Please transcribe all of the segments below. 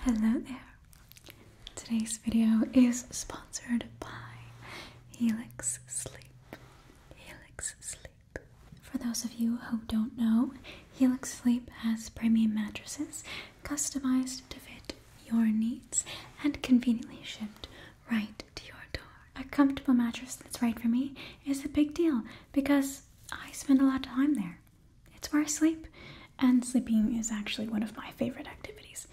Hello there. Today's video is sponsored by Helix Sleep. Helix Sleep. For those of you who don't know, Helix Sleep has premium mattresses customized to fit your needs and conveniently shipped right to your door. A comfortable mattress that's right for me is a big deal because I spend a lot of time there. It's where I sleep, and sleeping is actually one of my favorite activities.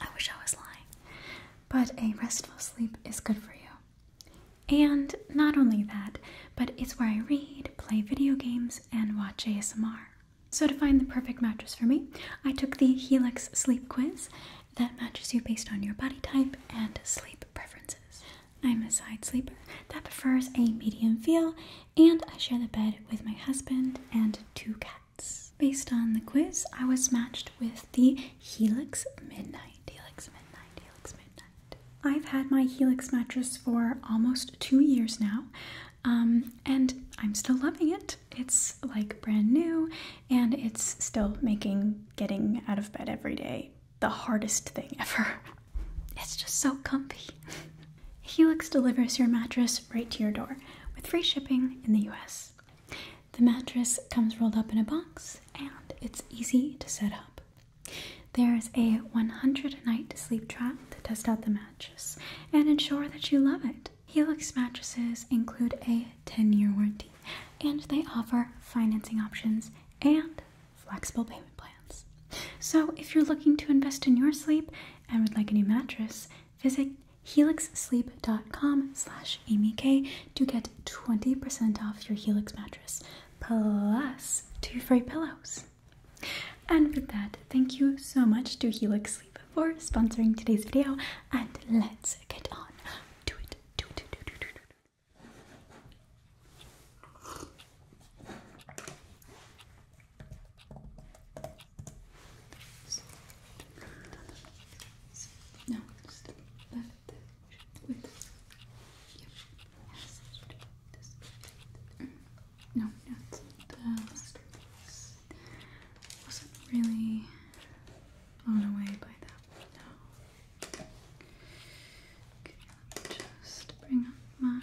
I wish I was lying. But a restful sleep is good for you. And not only that, but it's where I read, play video games, and watch ASMR. So, to find the perfect mattress for me, I took the Helix Sleep Quiz that matches you based on your body type and sleep preferences. I'm a side sleeper that prefers a medium feel and I share the bed with my husband and two cats. Based on the quiz, I was matched with the Helix Midnight. Helix Midnight, Helix Midnight. I've had my Helix mattress for almost two years now, um, and I'm still loving it. It's like brand new, and it's still making getting out of bed every day the hardest thing ever. It's just so comfy. Helix delivers your mattress right to your door with free shipping in the US. The mattress comes rolled up in a box and it's easy to set up. There's a 100 night sleep trial to test out the mattress and ensure that you love it. Helix mattresses include a 10 year warranty and they offer financing options and flexible payment plans. So, if you're looking to invest in your sleep and would like a new mattress, visit helixsleep.com/amyk to get 20% off your Helix mattress plus two free pillows. And with that, thank you so much to Helix Sleep for sponsoring today's video, and let's get on to it. No, just let Yep. Mm. No, not the last piece. Wasn't really blown away by that one. No. just bring up my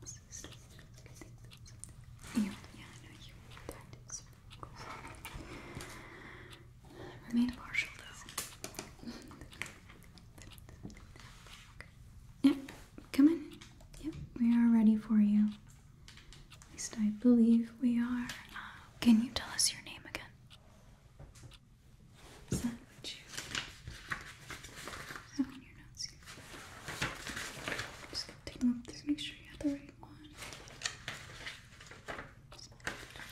This is partial though. Yep, come in. Yep, we are ready for you. At least I believe we are. Can you tell us your name again? Just gonna take them up. make sure you have the right one.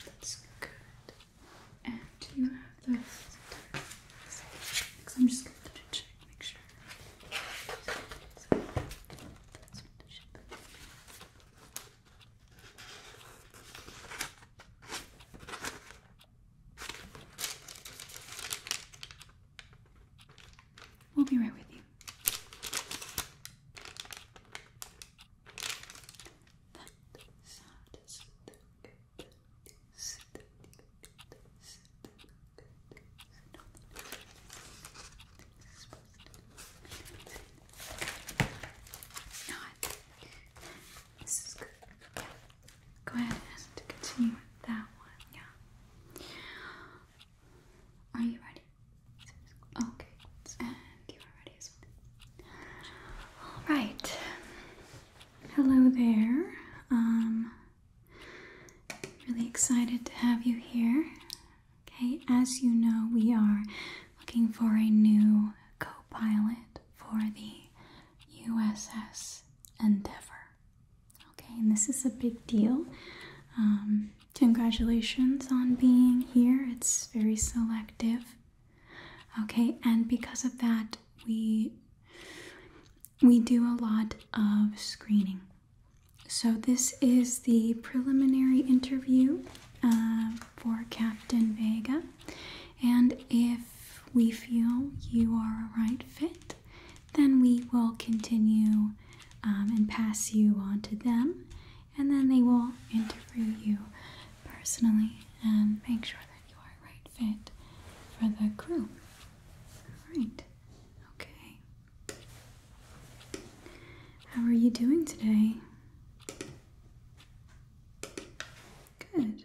that's good. And you have the I'm just gonna check, make sure. We'll be right with you. Not. This is good go ahead and continue with that one. Yeah. Are you ready? Okay. And you are ready All right. Hello there. Um, really excited to have you here. Okay, as you know, we are looking for a new co pilot for the USS Endeavour. Okay, and this is a big deal. Um, congratulations on being here. It's very selective. Okay, and because of that, we we do a lot of screening. So this is the preliminary interview uh, for Captain Vega, and if we feel you are a right fit, then we will continue um, and pass you on to them, and then they will interview you personally and make sure that you are right fit for the crew. All right. Okay. How are you doing today? Good.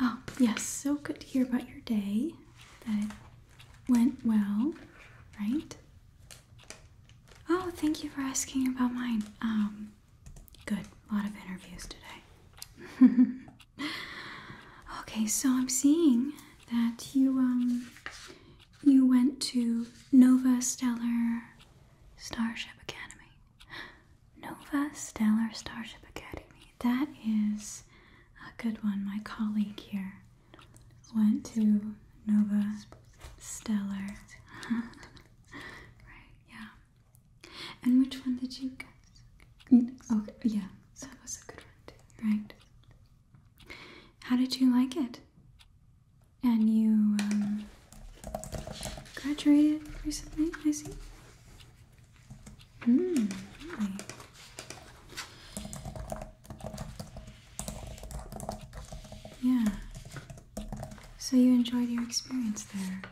Oh, yes, so good to hear about your day. That went well, right? Oh, thank you for asking about mine. Um, good. A lot of interviews today. okay, so I'm seeing that you um you went to Nova Stellar Starship Academy. Nova Stellar Starship Academy. That is a good one. My colleague here went to Nova Stellar. right, yeah. And which one did you go? Oh, yeah, that was a good one too, right? How did you like it? And you um, graduated recently, I see. Mm, Yeah. So you enjoyed your experience there.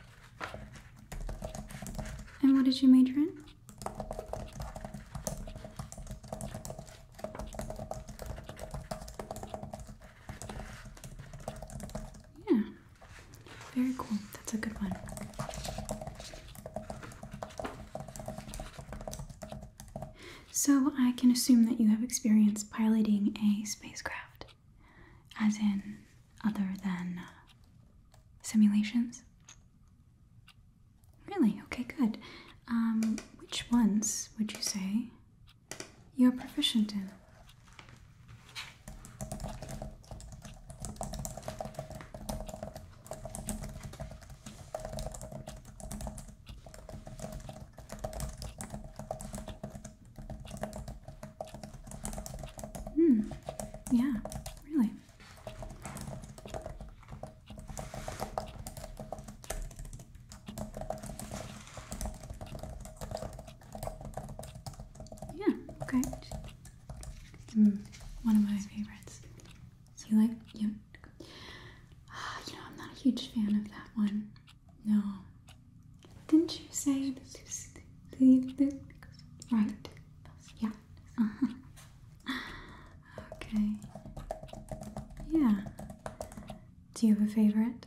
And what did you major in? Yeah, very cool. That's a good one. So, I can assume that you have experience piloting a spacecraft, as in other than uh, simulations? Really? Okay, good. Um, which ones would you say you're proficient in? Hmm. Yeah, really. Yeah, great. Mm, one of my favorites. So you like you? Uh, you know, I'm not a huge fan of that one. No. Didn't you say this is the right? Yeah. Uh huh. Okay. Yeah. Do you have a favorite?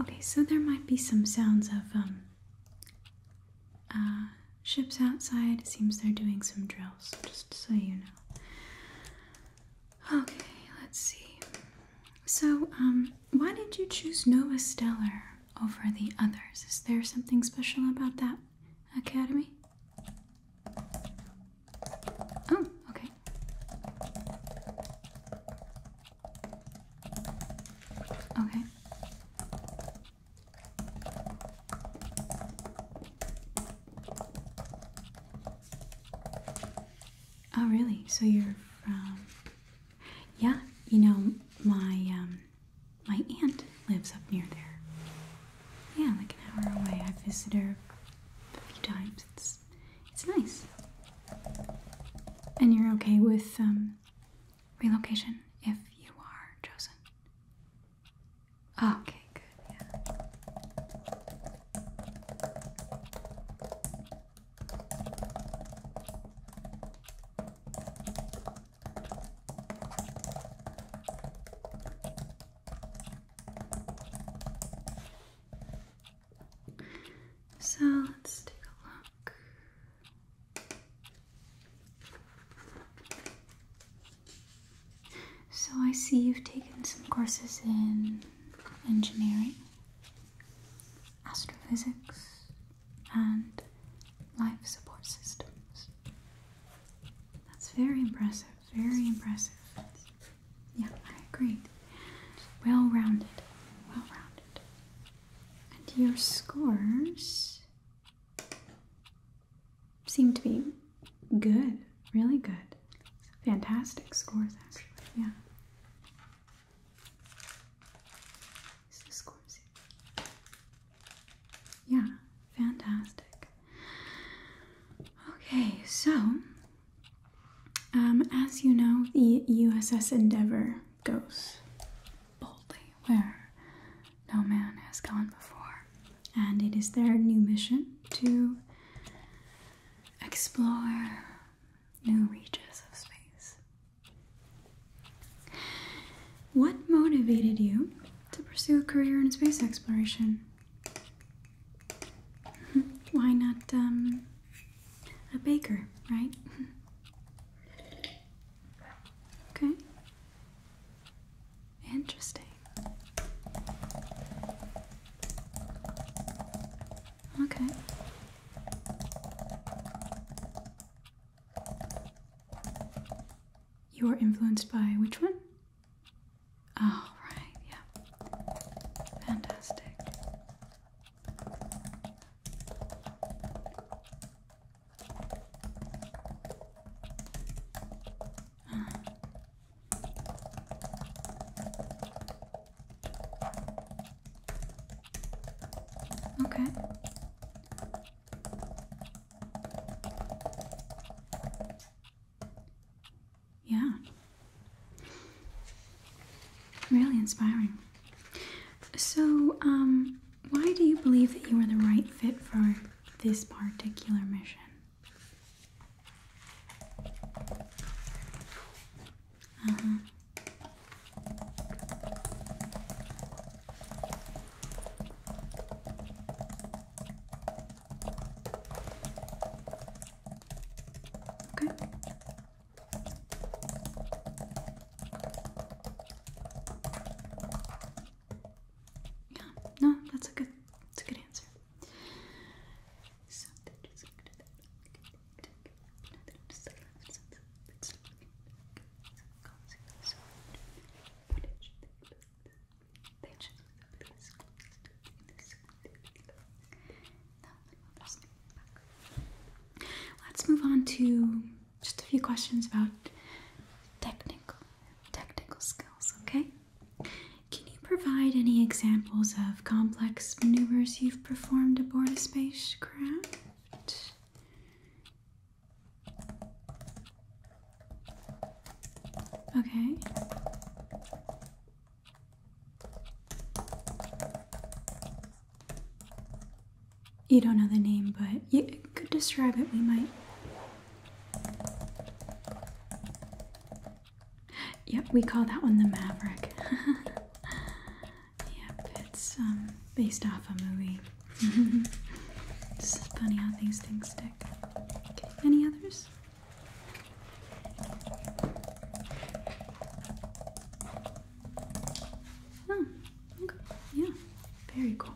Okay, so there might be some sounds of um uh, ships outside. It seems they're doing some drills, just so you know. Okay, let's see. So, um, why did you choose Nova Stellar over the others? Is there something special about that academy? Oh, okay. Okay. Oh, really? So you're from yeah, you know, my um, my aunt lives up near there. Yeah, like an hour away. I visit her a few times. It's it's nice. And you're okay with um, relocation if you are chosen. okay, good. Yeah. So let's take a look. So I see you've taken some courses in engineering astrophysics, and life support systems. That's very impressive, very impressive. Yeah, I agree. Well rounded, well rounded. And your scores seem to be good, really good. Fantastic scores, actually. Yeah. Yeah, fantastic. Okay, so um, as you know, the USS Endeavour goes boldly where no man has gone before, and it is their new mission to explore new reaches of space. What motivated you to pursue a career in space exploration? Why not um, a baker, right? okay. Interesting. Okay. You are influenced by which one? Oh, right, yeah. Fantastic. Okay. Yeah. Really inspiring. So, um, why do you believe that you are the right fit for this particular mission? Okay. Yeah, no, that's a good, that's a good answer. Let's move on to just a few questions about technical technical skills, okay? Can you provide any examples of complex maneuvers you have performed aboard a spacecraft. Okay. You don't know the name, but you could describe it, we might. Yep, we call that one the Maverick. yep, it's um, based off a movie. it's funny how these things stick. any others? Oh, okay. Yeah, very cool.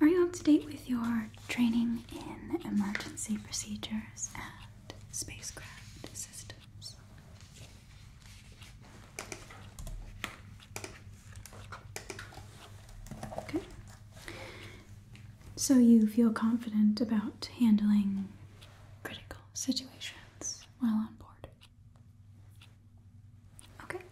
Are you up to date with your training in emergency procedures and spacecraft systems? Okay. So you feel confident about handling critical situations while on board. Okay.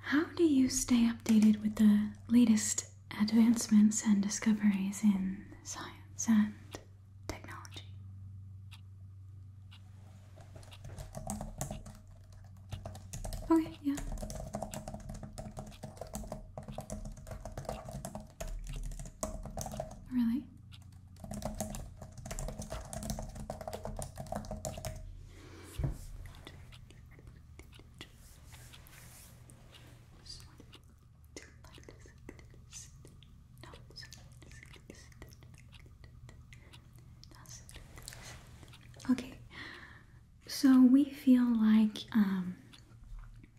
How do you stay updated with the latest advancements and discoveries in science and technology. Okay, yeah. Really? Okay, so we feel like um,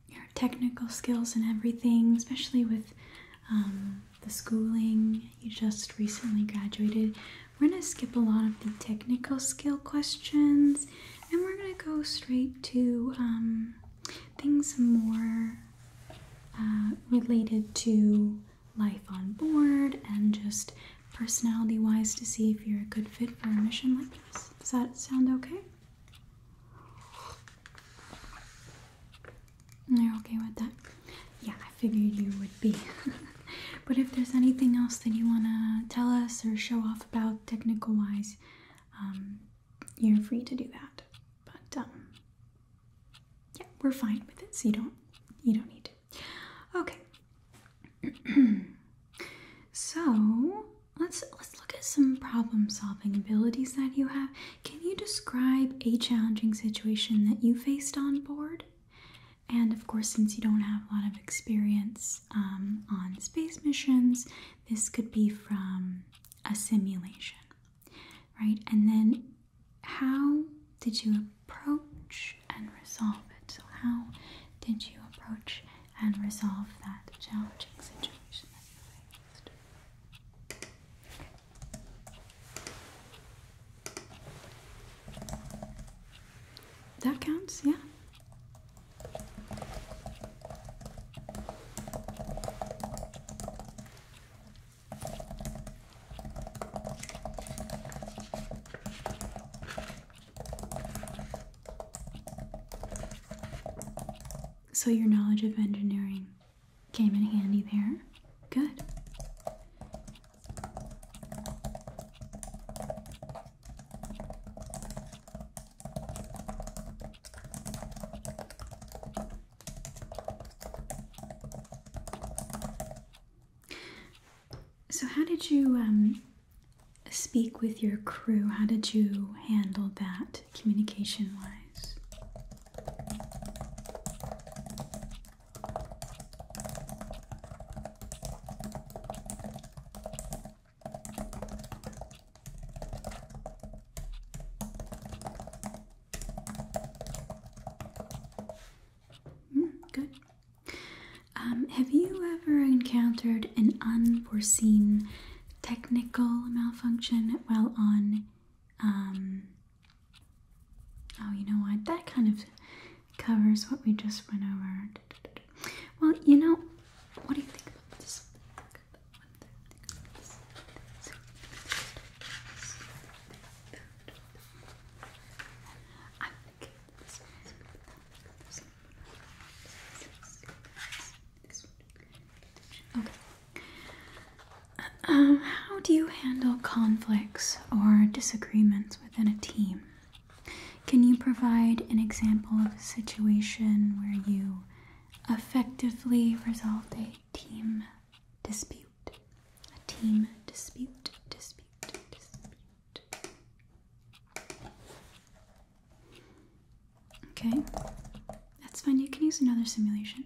your technical skills and everything, especially with um, the schooling you just recently graduated, we're going to skip a lot of the technical skill questions and we're going to go straight to um, things more uh, related to life on board and just personality wise to see if you're a good fit for a mission like this. Does that sound okay? You're okay with that? Yeah, I figured you would be. but if there's anything else that you want to tell us or show off about technical wise, um, you're free to do that. But um, yeah, we're fine with it, so you don't you don't need to. Okay. so let's let's look at some problem solving abilities that you have. Can you describe a challenging situation that you faced on board? And of course, since you don't have a lot of experience um, on space missions, this could be from a simulation, right? And then how did you approach and resolve it? So, how did you approach and resolve that challenging situation that you faced? That counts, yeah. So, your knowledge of engineering came in handy there. Good. So, how did you um, speak with your crew? How did you handle that communication wise? Mm, good. Um, have you ever encountered an unforeseen technical malfunction while on? Um, oh, you know what? That kind of covers what we just went over. Well, you know, what do you think about this? Okay. Um, how do you handle conflicts or disagreements within a team? Can you provide an example of a situation where you effectively resolved a team dispute? A team dispute, dispute, dispute. Okay, that's fine. You can use another simulation.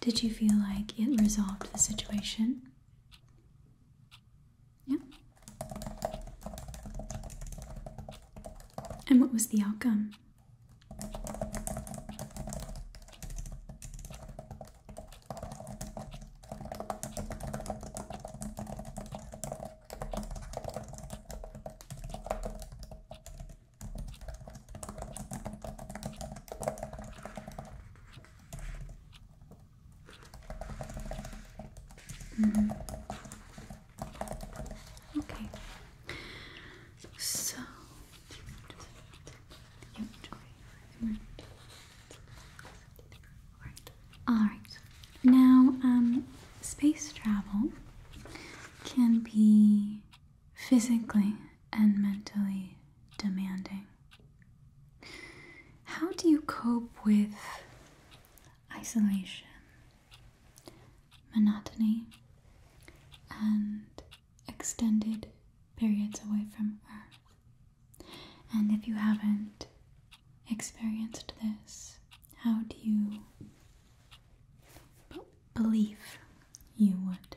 Did you feel like it resolved the situation? Yeah. And what was the outcome? Mm-hmm. Okay. So Alright. Now, um, space travel can be physically and mentally demanding. How do you cope with isolation, monotony, and extended periods away from Earth? And if you haven't experienced this, how do you believe you would?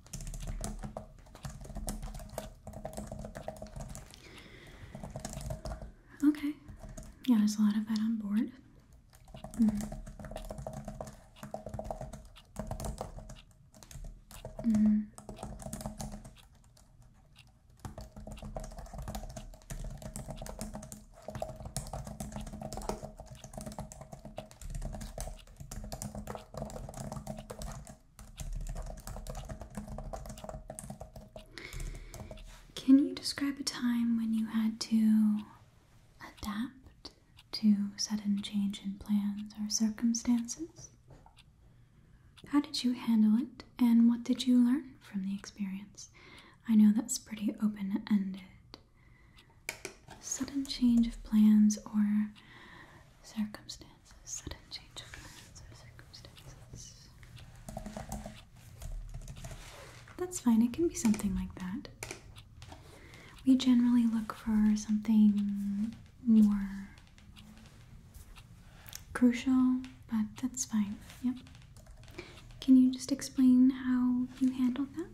Okay. Yeah, there's a lot of that on board. Mm-hmm. Mm-hmm. Can you describe a time when you had to adapt to sudden change in plans or circumstances? How did you handle it and what did you learn from the experience? I know that's pretty open ended, Sudden change of plans or circumstances. Sudden change of plans or circumstances. That's fine, it can be something like that. We generally look for something more crucial, but that's fine. Yep. Can you just explain how you handled that?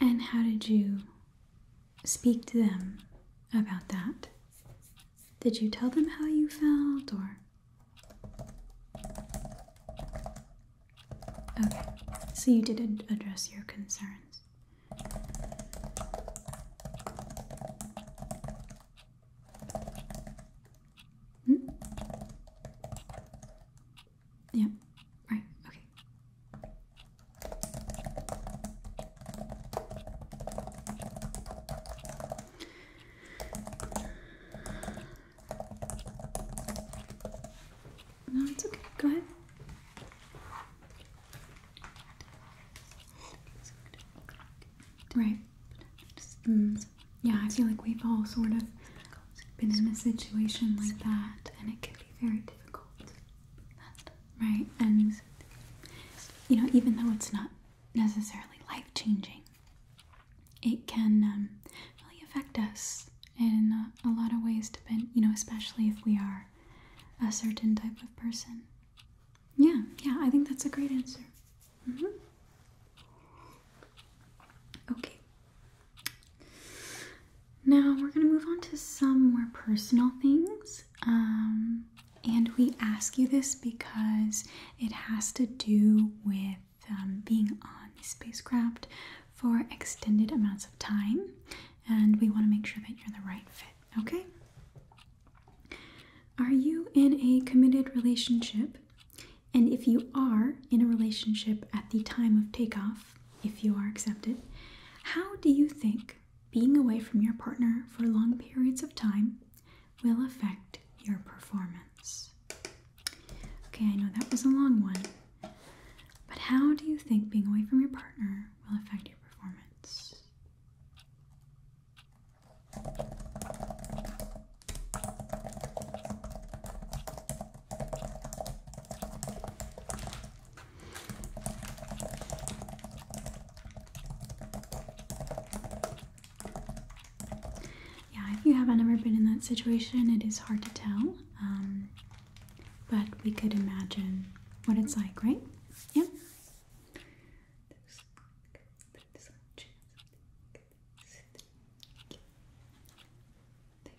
And how did you speak to them about that? Did you tell them how you felt or? Okay, so you did address your concerns. Hmm? Yeah. Right. Okay. No, it's okay. Go ahead. Right. Mm, yeah, I feel like we've all sort of been in a situation like that, and it can be very difficult. Right, and you know, even though it's not necessarily life changing, it can um, really affect us in a, lot of ways, To be, you know, especially if we are a certain type of person. Yeah, yeah, I think that's a great answer. Mm-hmm. Okay, now we're going to move on to some more personal things. Um, and we ask you this because it has to do with um, being on the spacecraft for extended amounts of time. And we want to make sure that you're the right fit, okay? Are you in a committed relationship? And if you are in a relationship at the time of takeoff, if you are accepted. How do you think being away from your partner for long periods of time will affect your performance? Okay, I know that was a long one, but how do you think being away from your partner will affect your performance? Yeah, if you haven't ever been in that situation, it is hard to tell. Um, but we could imagine what it's like, right? Yeah. Okay,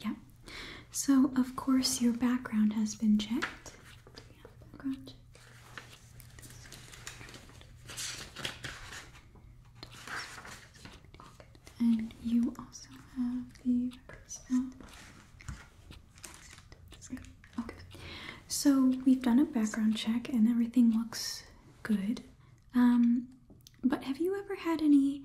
yeah. So, of course, your background has been checked. And you also have the personal. Okay. So we've done a background check and everything looks good. Um, but have you ever had any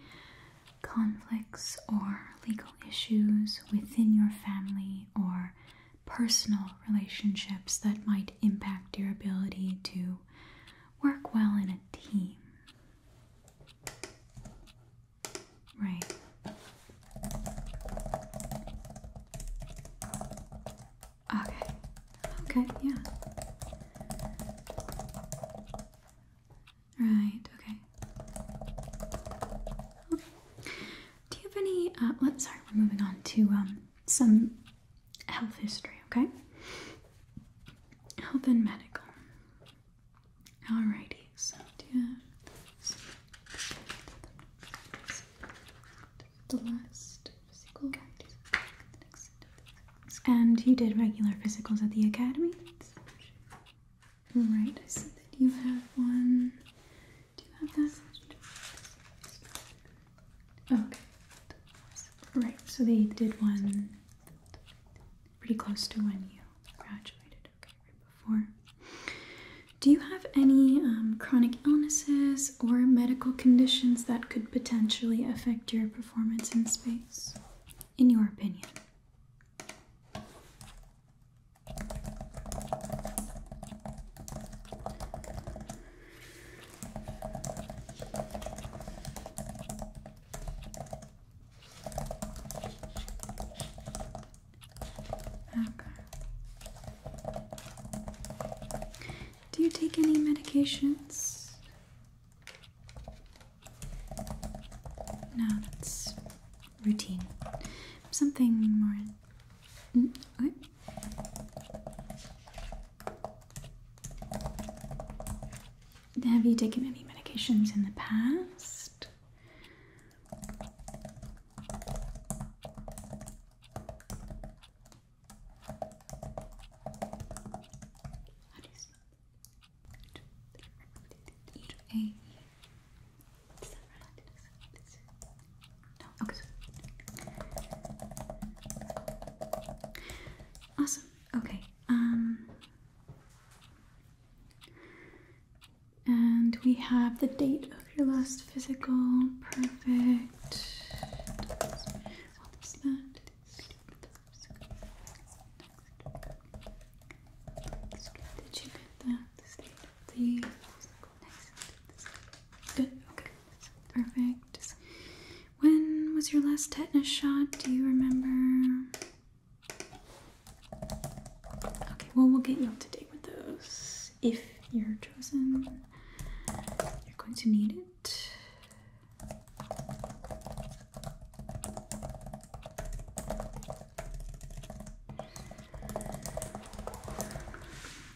conflicts or legal issues within your family or personal relationships that might impact your ability to work well in a team. Right. Okay. Okay, yeah. Right, okay. Do you have any? Uh, let's sorry. We're moving on to um, some health history. Okay. Health and medical. Alrighty. So do you the last physical? And you did regular physicals at the academy? Right, I see that you have one. Do you have that? Okay. Right, so they did one pretty close to when you graduated, before. Do you have any um, chronic illnesses or medical conditions that could potentially affect your performance in space, in your opinion? Okay. Do you take any medications? No, that's routine. Something more. Mm, Have you taken any medications in the past? Is that Awesome. Okay. Um. And we have the date of your last physical. Perfect. Did you get that? the Okay. Perfect. When was your last tetanus shot? Do you remember? Okay. Well, we'll get you up to date with those if you're chosen. You're going to need it.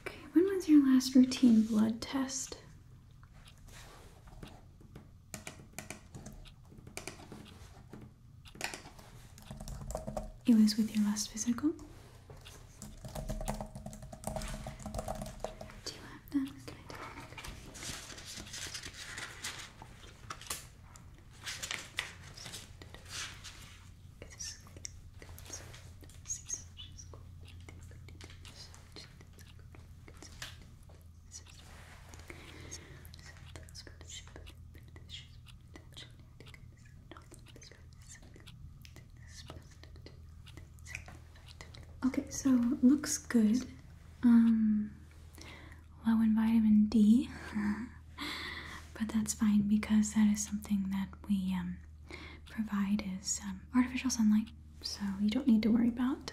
Okay, when was your last routine blood test? It was with your last physical. Do you have that? Can I take Okay, so looks good. Um, low in vitamin D, but that's fine because that is something that we um, provide is um, artificial sunlight, so you don't need to worry about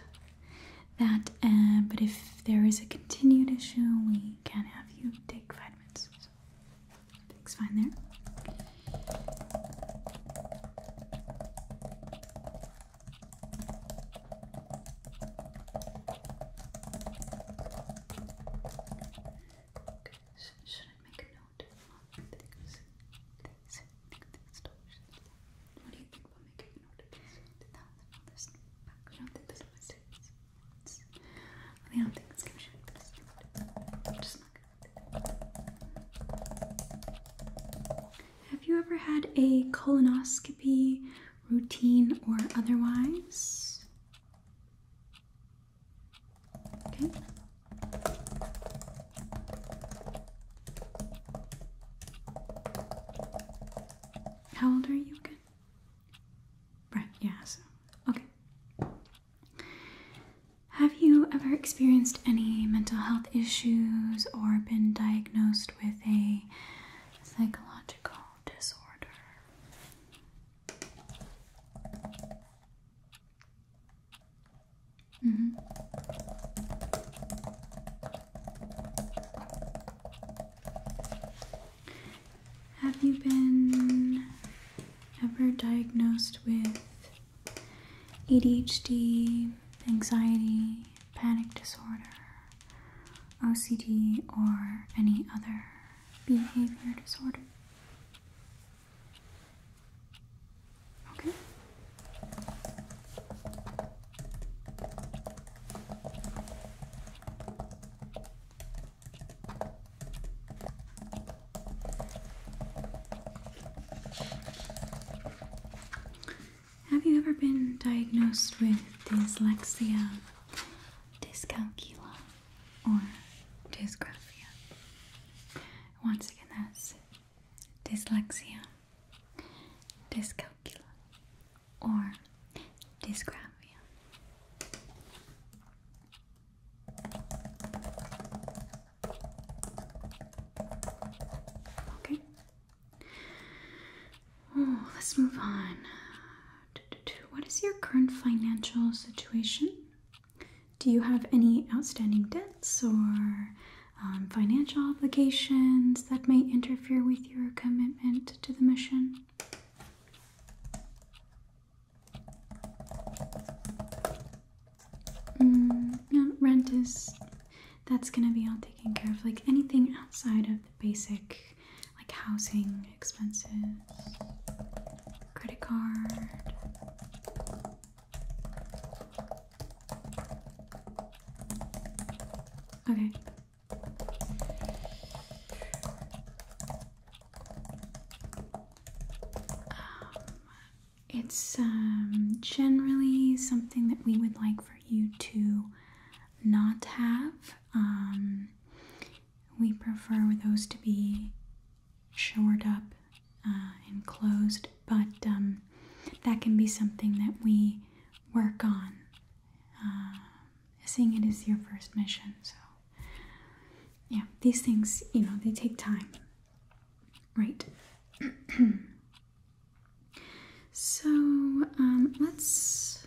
that. Uh, but if there is a continued issue, we can have you take vitamins. So, everything's fine there should I make a note What do you think about making a note of things? Did that on this back? I don't think this is my students. It's, don't think it's gonna Have you ever had a colonoscopy routine or otherwise? Okay. How old are you again? Right, yeah, so okay. Have you ever experienced any mental health issues or been diagnosed with a psychological disorder. Mm -hmm. Have you been ever diagnosed with ADHD, anxiety, panic disorder, OCD or any other behavior disorder. Okay. Have you ever been diagnosed with dyslexia dyscalculia or dysgraphia. Once again, that's dyslexia, dyscalculia, or dysgraphia. Okay. Oh, let's move on. What is your current financial situation? Do you have any outstanding debts or um, financial obligations that may interfere with your commitment to the mission? Mm, rent is that's gonna be all taken care of. Like anything outside of the basic like housing expenses, credit card. Okay. Um, it's um, generally something that we would like for you to not have. Um, we prefer those to be shored up uh, and closed, but um, that can be something that we work on, uh, seeing it is your first mission. So, yeah, these things, you know, they take time. Right. so, um, let's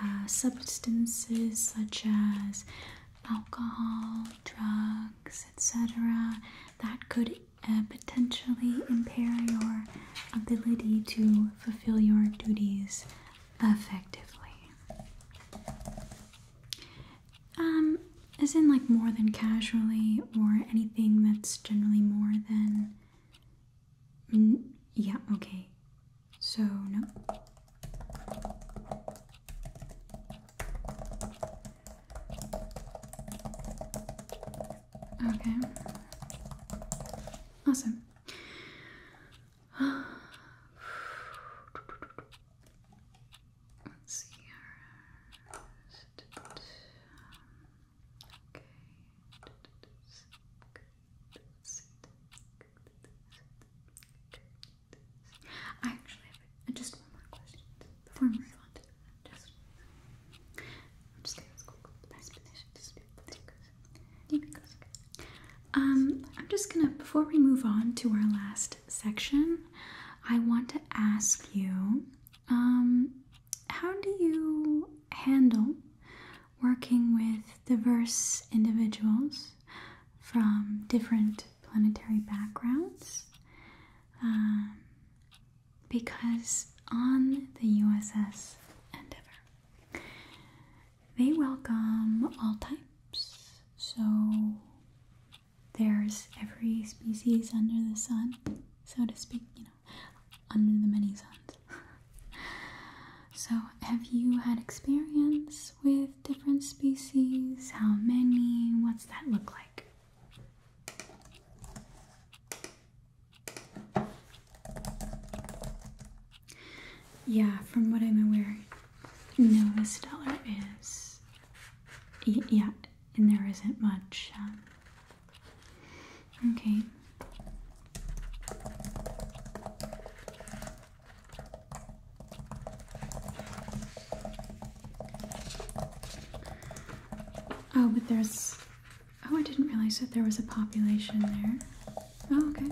Uh, substances such as alcohol, drugs, etc., that could uh, potentially impair your ability to fulfill your duties effectively. Um, as in, like, more than casually or anything that's generally more than. yeah, okay. So, no. Okay. Awesome. Let's see Okay. I actually have just one more question before we move on Just, um, I'm just gonna before we move on to our last section, I want to ask you, um, how do you handle working with diverse individuals from different planetary backgrounds um, because on the USS Endeavour they welcome all types, so there's every species under the sun, so to speak, you know, under the many suns. So, have you had experience with different species? How many? What's that look like? Yeah, from what I'm aware, Nova Stellar is. Yeah, and there isn't much. Um, okay. Oh, but there's. Oh, I didn't realize that there was a population there. Oh, okay.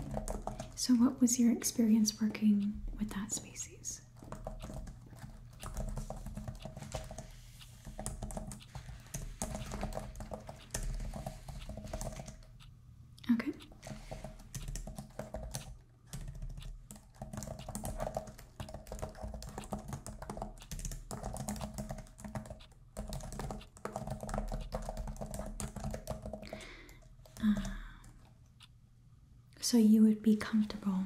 So, what was your experience working with that species? Okay. Uh, so you would be comfortable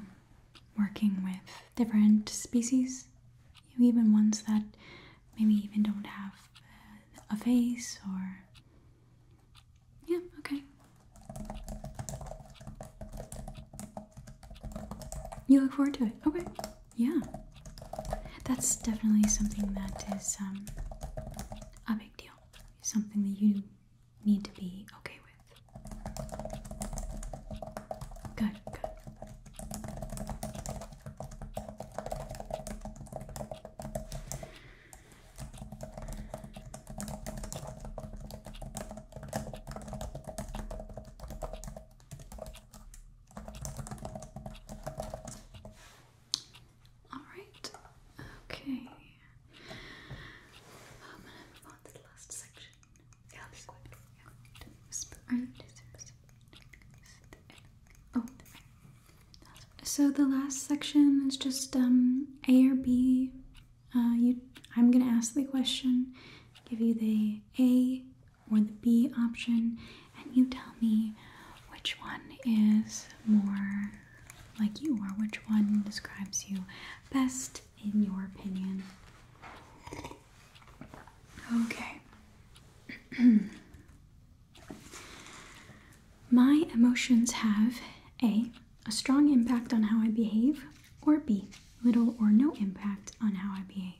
working with different species, even ones that maybe even don't have uh, a face or yeah, okay. You look forward to it. Okay. Yeah. That's definitely something that is um, a big deal. Something that you need to be okay with. Good, good. All right. Okay. I'm going move on to the last section. Yeah, this way. Yeah. Oh, so the last section is just um, A or B. Uh, you, I'm going to ask the question, give you the A or the B option, and you tell me which one is more like you or which one describes you best in your opinion. Okay. My emotions have A, a strong impact on how I behave, or B, little or no impact on how I behave.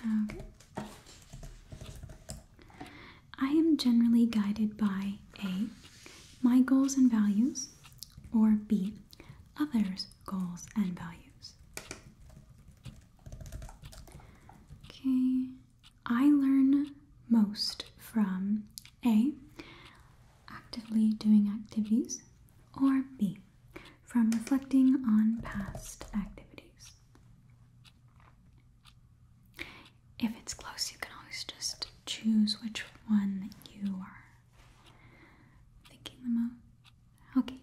Okay. I am generally guided by A, my goals and values, or B, others' goals and values. Okay. I learn most from A, actively doing activities, or B, from reflecting on past activities. If it's close, you can always just choose which one you are thinking the most. Okay,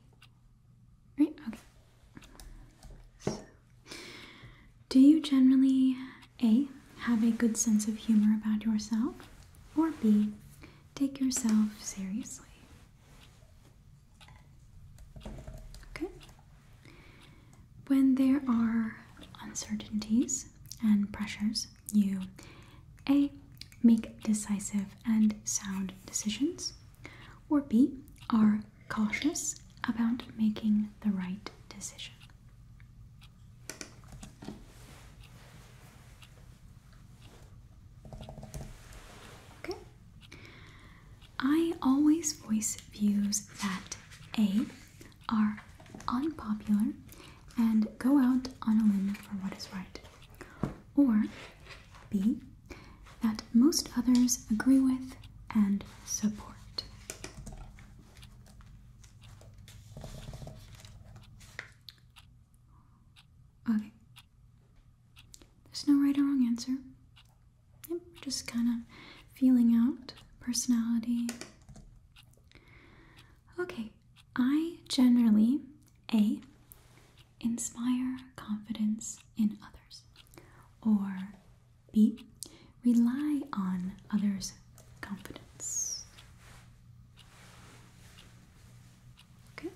Right? Okay. do you generally A, have a good sense of humor about yourself, or B, take yourself seriously? Okay. When there are uncertainties and pressures, you A, make decisive and sound decisions, or B, are cautious about making the right decision. Okay. I always voice views that A are unpopular and go out on a limb for what is right, or B. That most others agree with and support. Okay. There's no right or wrong answer. Yep, just kind of feeling out personality. Okay, I generally A. Inspire confidence in others. Or B, rely on others' confidence. Okay.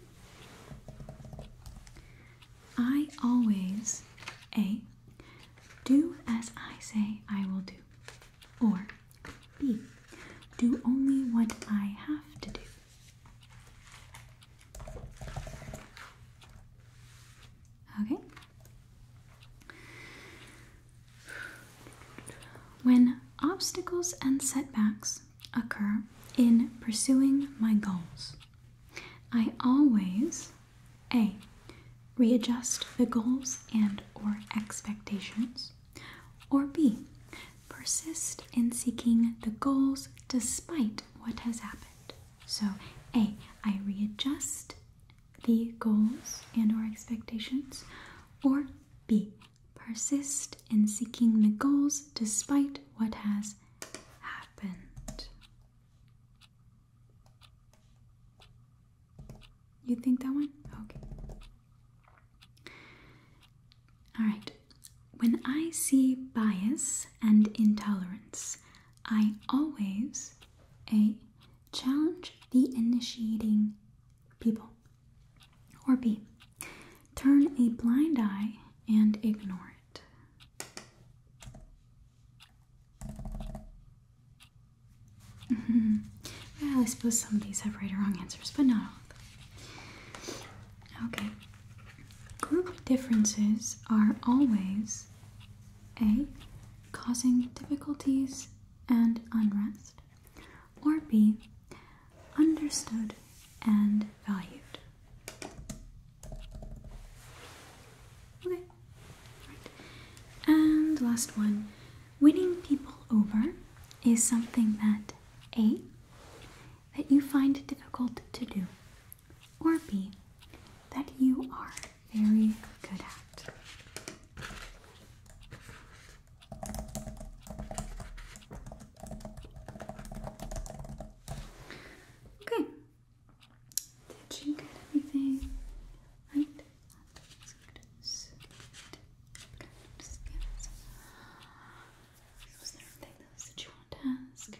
I always A, do as I say I will do. Or B, do only what I have to do. Okay. When obstacles and setbacks occur in pursuing my goals, I always A. Readjust the goals and or expectations or B. Persist in seeking the goals despite what has happened. So A, I readjust the goals and or expectations or B, persist in seeking the goals despite what has happened. You think that one? Okay. All right. When I see bias and intolerance, I always A challenge the initiating people. Or B turn a blind eye and ignore it. well, I suppose some of these have right or wrong answers, but not all of them. Okay, Group differences are always A. Causing difficulties and unrest, or B. Understood and valued. Okay, And last one winning people over is something that A. That you find difficult to do, or B, that you are very good at? Okay. Did you get everything right? Sweet. Good. Just give us. Was there anything else that you want to ask?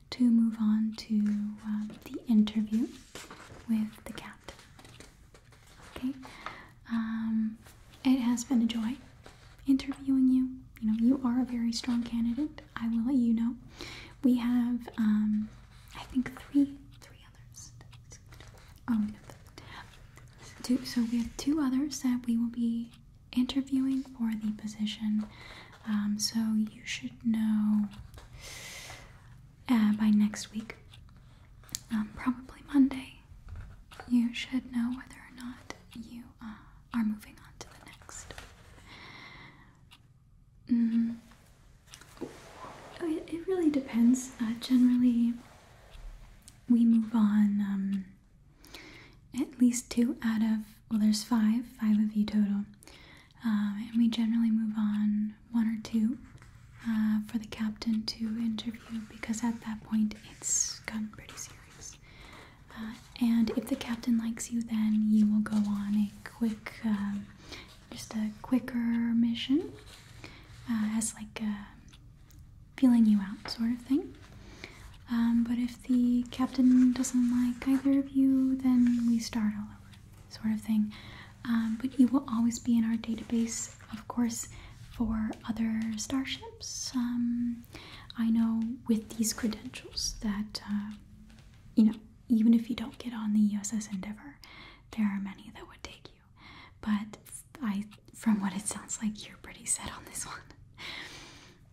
to move on to um, the interview with the cat. Okay, um, it has been a joy interviewing you. You know, you are a very strong candidate. I will let you know. We have, um, I think, three, three others. Oh, we have two. So we have two others that we will be interviewing for the position um, so you should know uh, by next week, um, probably Monday, you should know whether or not you uh, are moving on to the next. Mm-hmm. Oh, it, really depends. Uh, generally, we move on um, at least two out of well, there's five, five of you total. Um, and we generally move on one or two uh, for the captain to interview because at that point it's gotten pretty serious. Uh, and if the captain likes you, then you will go on a quick, um, just a quicker mission uh, as like feeling you out sort of thing. Um, but if the captain doesn't like either of you, then we start all over, sort of thing. Um, but you will always be in our database, of course, for other starships. Um, I know with these credentials that, uh, you know, even if you don't get on the USS Endeavor, there are many that would take you. But I, from what it sounds like, you're pretty set on this one.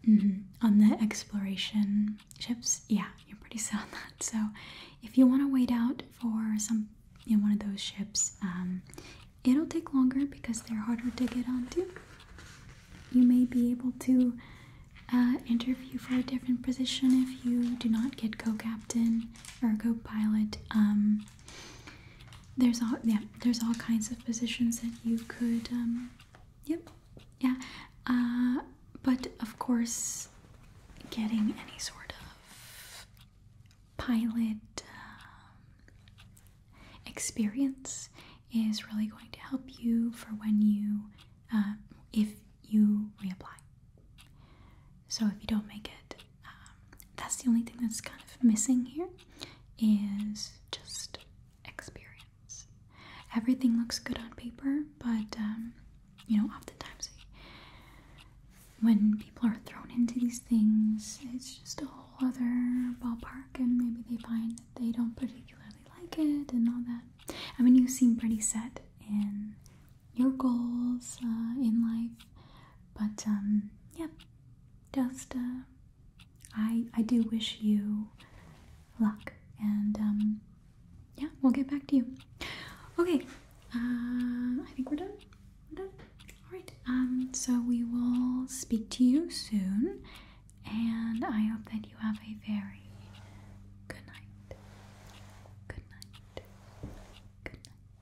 Mm-hmm. On the exploration ships, yeah, you're pretty set on that. So, if you want to wait out for some, you know, one of those ships, um, it'll take longer because they're harder to get onto. You may be able to uh, interview for a different position if you do not get co-captain or co-pilot. Um, there's all yeah, there's all kinds of positions that you could um, yep yeah uh, but of course getting any sort of pilot um, experience is really going to help you for when you um, if you reapply so if you don't make it um, that's the only thing that's kind of missing here is just experience. Everything looks good on paper, but um, you know, oftentimes when people are thrown into these things, it's just a whole other ballpark, and maybe they find that they don't particularly like it and all that. I mean, you seem pretty set in your goals uh, in life, but um, yeah, just uh, I I do wish you luck, and um, yeah, we'll get back to you. Okay, uh, I think we're done. We're done. All right. Um, so we will speak to you soon, and I hope that you have a very good night. Good night. Good night.